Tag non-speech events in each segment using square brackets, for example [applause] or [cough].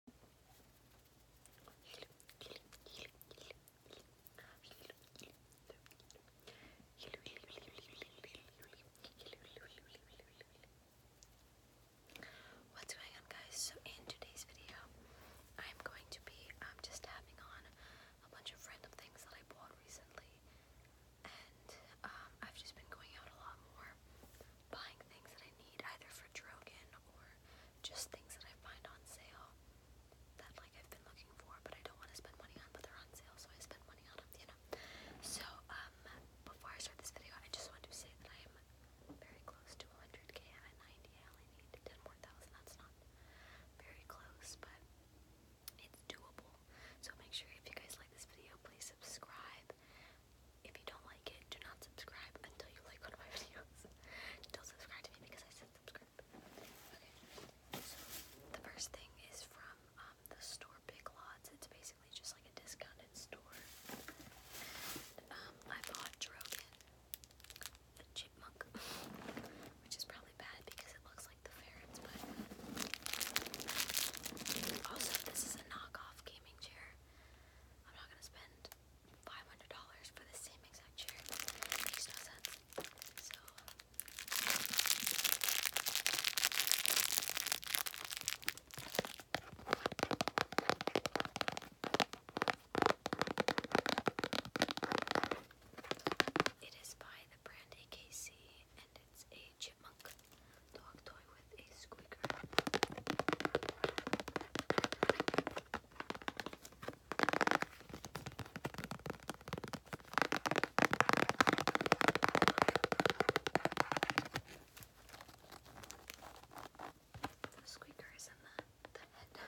What's going on, guys? So, in today's video, I'm going to be um, just tapping on a bunch of random things that I bought recently, and um, I've just been going out a lot more buying things that I need either for Drogan or just things that I find on sale that like I've been looking for but I don't want to spend money on but they're on sale so I spend money on them, So um before I start this video I just want to say that I am very close to 100k. I'm 90. I only need 10 more thousand. That's not very close but it's doable. So make sure if you guys like this video please subscribe if you don't like it, do not subscribe until you like one of my [laughs] videos. don't subscribe to me because I said subscribe. Okay, so the first thing is from um, the store Big Lots. It's basically just like a discounted store. Um, I bought Drogon, the chipmunk, [laughs] which is probably bad because it looks like the ferrets, but also this is a knockoff gaming chair. I'm not gonna spend five hundred dollars for the same exact chair. It makes no sense. So it is by the brand AKC and it's a chipmunk dog toy a squeaker. The squeaker is in the, the head.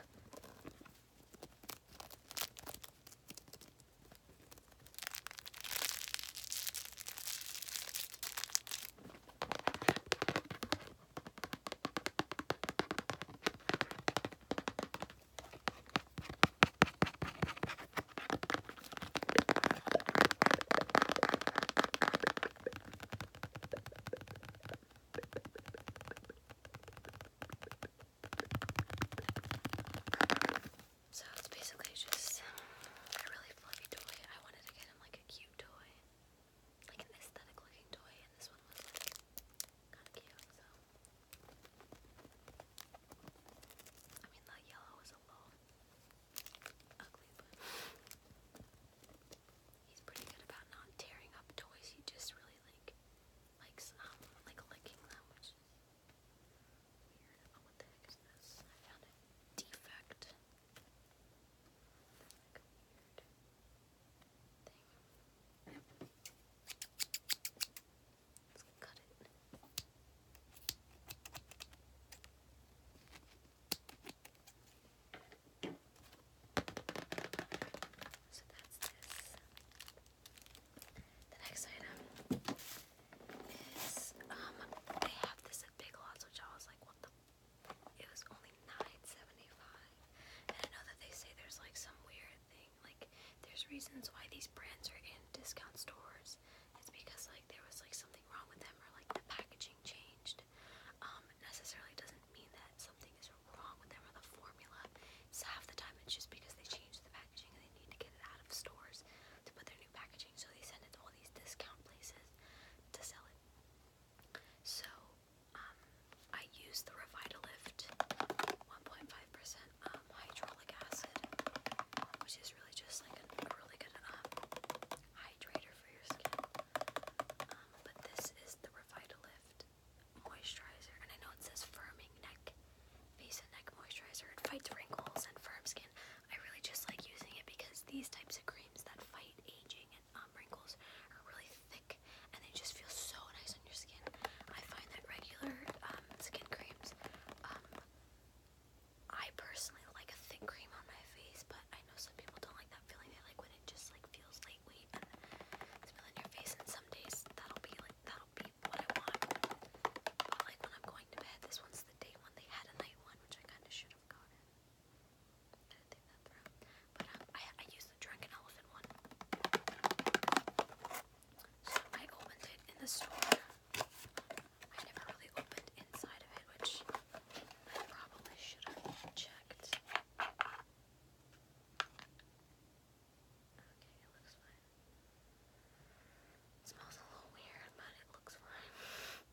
So it's basically just a really fluffy toy. I wanted to get him like a cute toy like an aesthetic looking toy, and this one was like kind of cute. So I mean, the yellow was a little ugly, but he's pretty good about not tearing up toys. He just really like likes um like licking them, which is weird. Oh, what the heck is this? I found a defect. Let's The next item is um they have this at Big Lots, which I was like, what the it was only nine seventy five. And I know that they say there's like some weird thing, like there's reasons why these brands are in discount stores. It's because like there was like something wrong with them or like the packaging changed. Um, necessarily doesn't mean that something is wrong with them or the formula. So half the time it's just because they changed the packaging and they need to get it out of stores to put their packaging, so they send it to all these discount places to sell it. So, um, I used the Revitalift 1.5% um, acid, which is really just like a, really good um, hydrator for your skin. Um, but this is the Revitalift moisturizer, and I know it says firming neck, face and neck moisturizer. It fights wrinkles and firm skin. I really just like using it because these types of creams creams that fight aging and um, wrinkles are really thick and they just feel so nice on your skin. I find that regular um, skin creams, um, I personally like a thick cream on my face, but I know some people don't like that feeling. They like when it just like feels lightweight and it's on your face. And some days that'll be like that'll be what I want. But like when I'm going to bed, this one's the day one. They had a night one, which I kind of should have gotten. Didn't um, I, I the drunken elephant one. So I opened it in the store. I never really opened inside of it, which I probably should have checked. It smells a little weird, but it looks fine.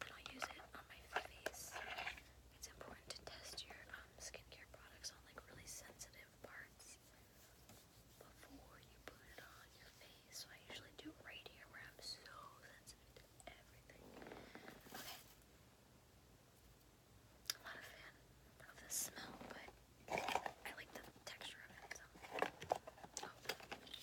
but i use it on my face. It's important to test your um, skincare products on like really sensitive parts before you put it on your face. So I usually do it right here where I'm so sensitive to everything. Okay. I'm not fan of the smell, but I like the texture of it. Oh.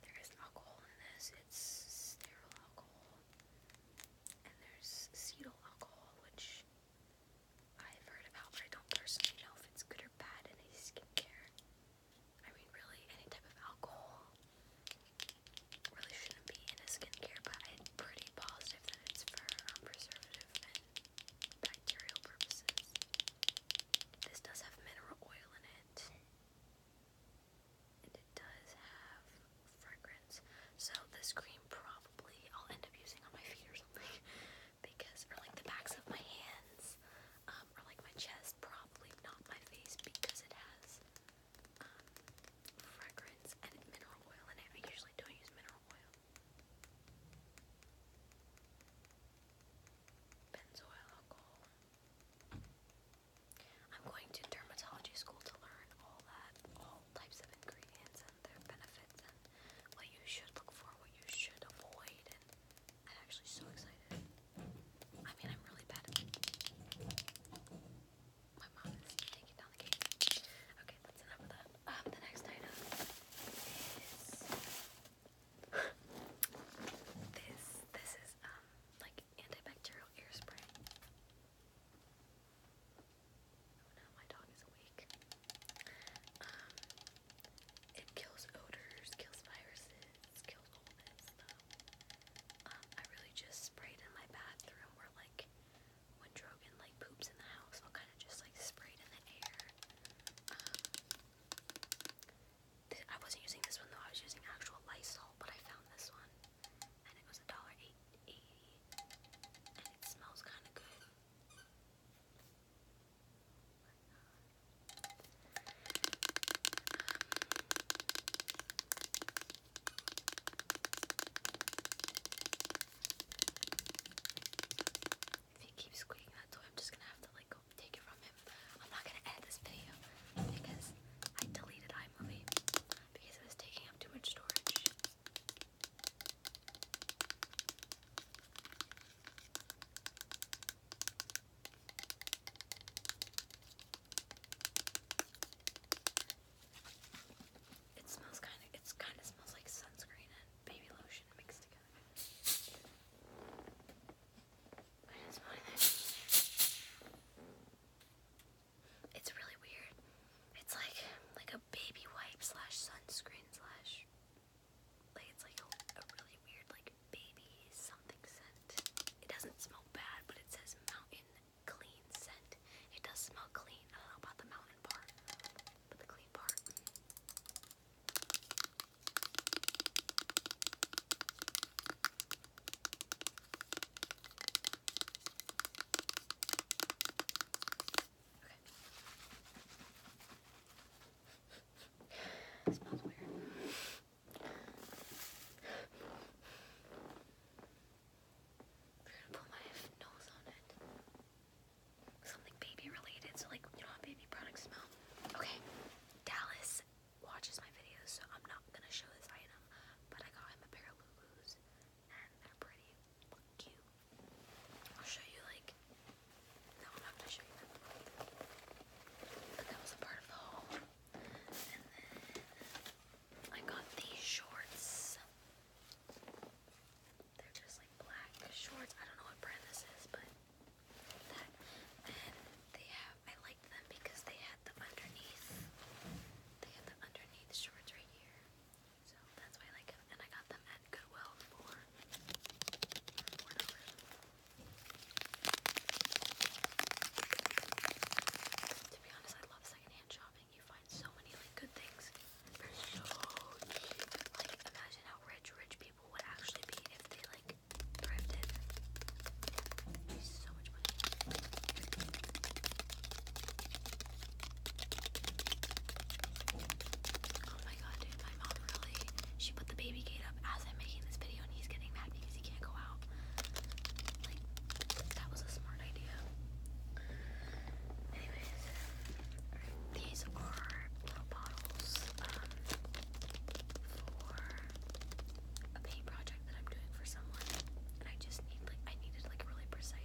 There is alcohol in this, it's sterile alcohol, and there's acetyl alcohol, which I've heard about, but I don't personally know if it's good or bad in a skincare. I mean, really, any type of alcohol really shouldn't be in a skincare, but I'm pretty positive that it's for um, preservative and bacterial purposes. This does have mineral oil in it, and it does have fragrance. So, this cream probably I'll end up using on my feet or something. [laughs] because, or like the backs of my hands, um, or like my chest, probably not my face because it has um, fragrance and mineral oil in it. I usually don't use mineral oil. Benzoyl alcohol. I'm going to dermatology school to learn all that, all types of ingredients their benefits and what you should look for, what you should avoid, and I'm actually so excited. I mean, I'm really bad My mom is taking down the cake. Okay, that's enough of that. Um, the next item is... [laughs] this, this is, um, like antibacterial ear Oh my dog is awake. Um, it kills odors, kills viruses, kills all Um, I really just sprayed in my bathroom where like when Drogon like poops in the house, I'll kind of just like spray it in the air. Um, I wasn't using this one though, I was using actual Lysol, but I found this one. And it was $1.80. And it smells kind of good. If he keeps squeaking that toy, I'm just gonna have to like take it from him. I'm not gonna edit this video because I deleted iMovie because it was taking up too much storage. It smells kind of, it's kind of smells like sunscreen and baby lotion mixed together. I didn't smell anything. It's really weird. It's like, like a baby wipe slash sunscreen slash like it's like a, really weird like baby something scent. It doesn't smell bad, but it says mountain clean scent. It does smell clean. I don't know about the mountain part, but the clean part smells weird. Something baby related, so like you baby products smell. Okay, Dallas watches my videos, so I'm not gonna show this item, but I got him a pair of Lulus, and they're pretty. I'll show you like got these shorts. They're just like black shorts. I don't know what brand this is, but that and they have I liked them because they had the underneath they had the underneath shorts right here. So that's why like And I got them at Goodwill for To be honest, I love secondhand shopping. You find so many like good things for so cheap. Like imagine how rich rich people would actually be if they like thrifted. So much money. Oh my god, my mom really, she put the baby gate up as I'm making this video and he's getting mad because he can't go out. Like, that was a smart idea. Anyways, um, these are little bottles um, for a paint project that I'm doing for someone. And I just need, like, I needed, like, really precise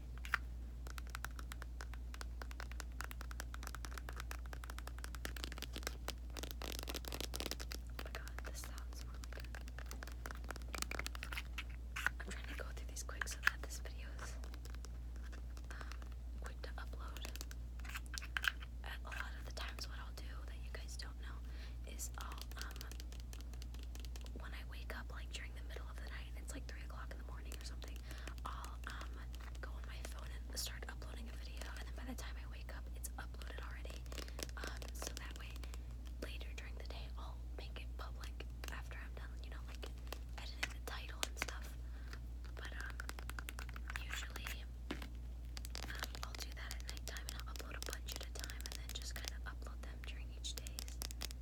Oh my god, this sounds really I'm trying to go through these quick so that this video is um, quick to upload. a lot of the times, what I'll do that you guys don't know is um, when I wake up, like the middle of the night and it's like three o'clock in the morning or something, I'll um, go on my phone and start uploading a video, and then by the time I wake up, it's uploaded already. Um, so that way, later during the day, I'll make it public after I'm done, you know, like editing the title and stuff. But um, usually, I'll do that at nighttime and upload a bunch at a time, and then just kind of upload them during each day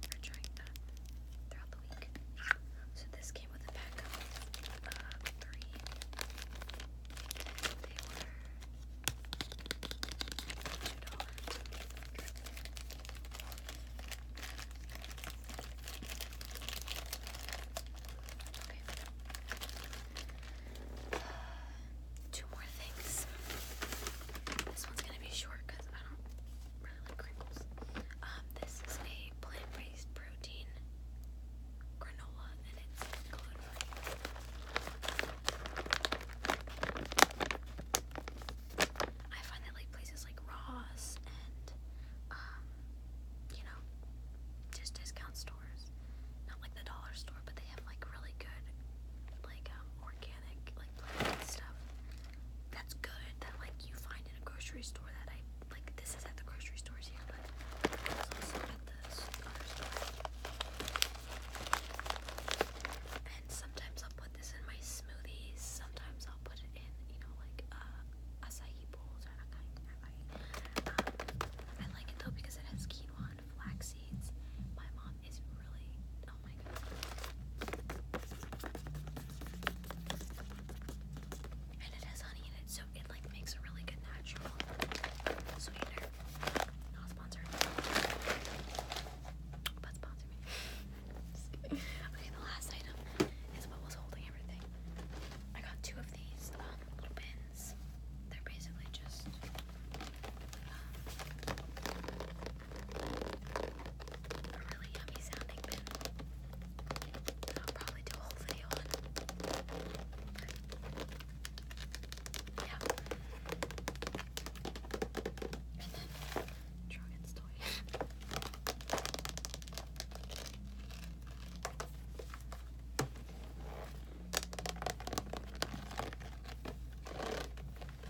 or during the uh, throughout the week. So this came with a pack of uh, three. they were $2. Okay. [sighs] two more things. This one's gonna be short because I don't really like crinkles. Um, this is a plant-based protein granola, and it's gluten-free. I find that like places like Ross and um, you know, just discount stores, not like the dollar store, but they have like really good, like um, organic that's good that like you find in a grocery store that I like this is at the grocery stores here but sometimes I'll put this in my smoothies sometimes I'll put it in you know like uh, acai bowls or acai, acai. Um, I like it though because it has quinoa and flax seeds my mom mom really, oh my god. And it has honey in it, so it like makes a really good natural sweetener. Not sponsored. But sponsor okay, the last item is what was holding everything. I got two of these um, little pins. They're basically just um, a really yummy sounding bin. I'll probably do a whole video on. Yeah. And then Dragon's [laughs] toy. It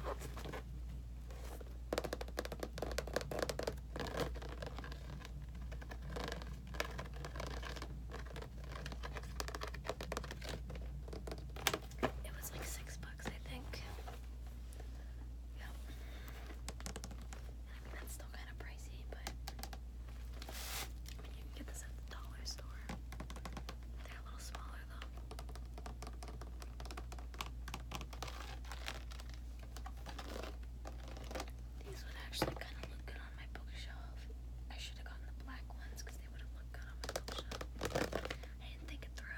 was like six bucks, I think. Yeah. I mean, that's still kind of pricey, but I mean, you can get this at the dollar store. They're a little smaller them. These would actually kind of look good on my bookshelf. I should have gotten the black ones because they would have looked good on my bookshelf. I didn't think it through.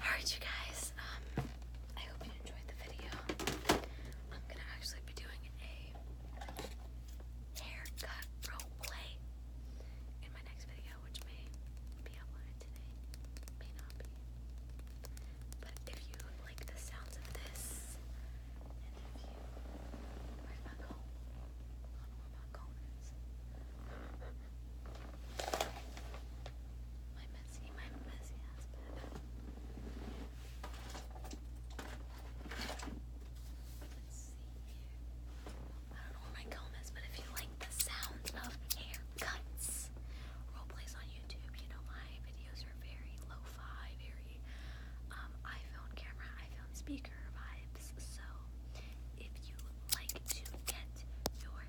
Alright, you guys, um, I hope you enjoyed the video. I'm gonna actually be doing a haircut role in my next video, which may be uploaded today, may not be. But if you like the sounds of this, and if you. Where's my comb? I don't know my messy, my messy ass Let's see here. I don't know where my comb is, but if you like the sounds of haircuts, roleplays on YouTube, you know my videos are very lo-fi, very iPhone camera, iPhone speaker vibes. So if you like to get your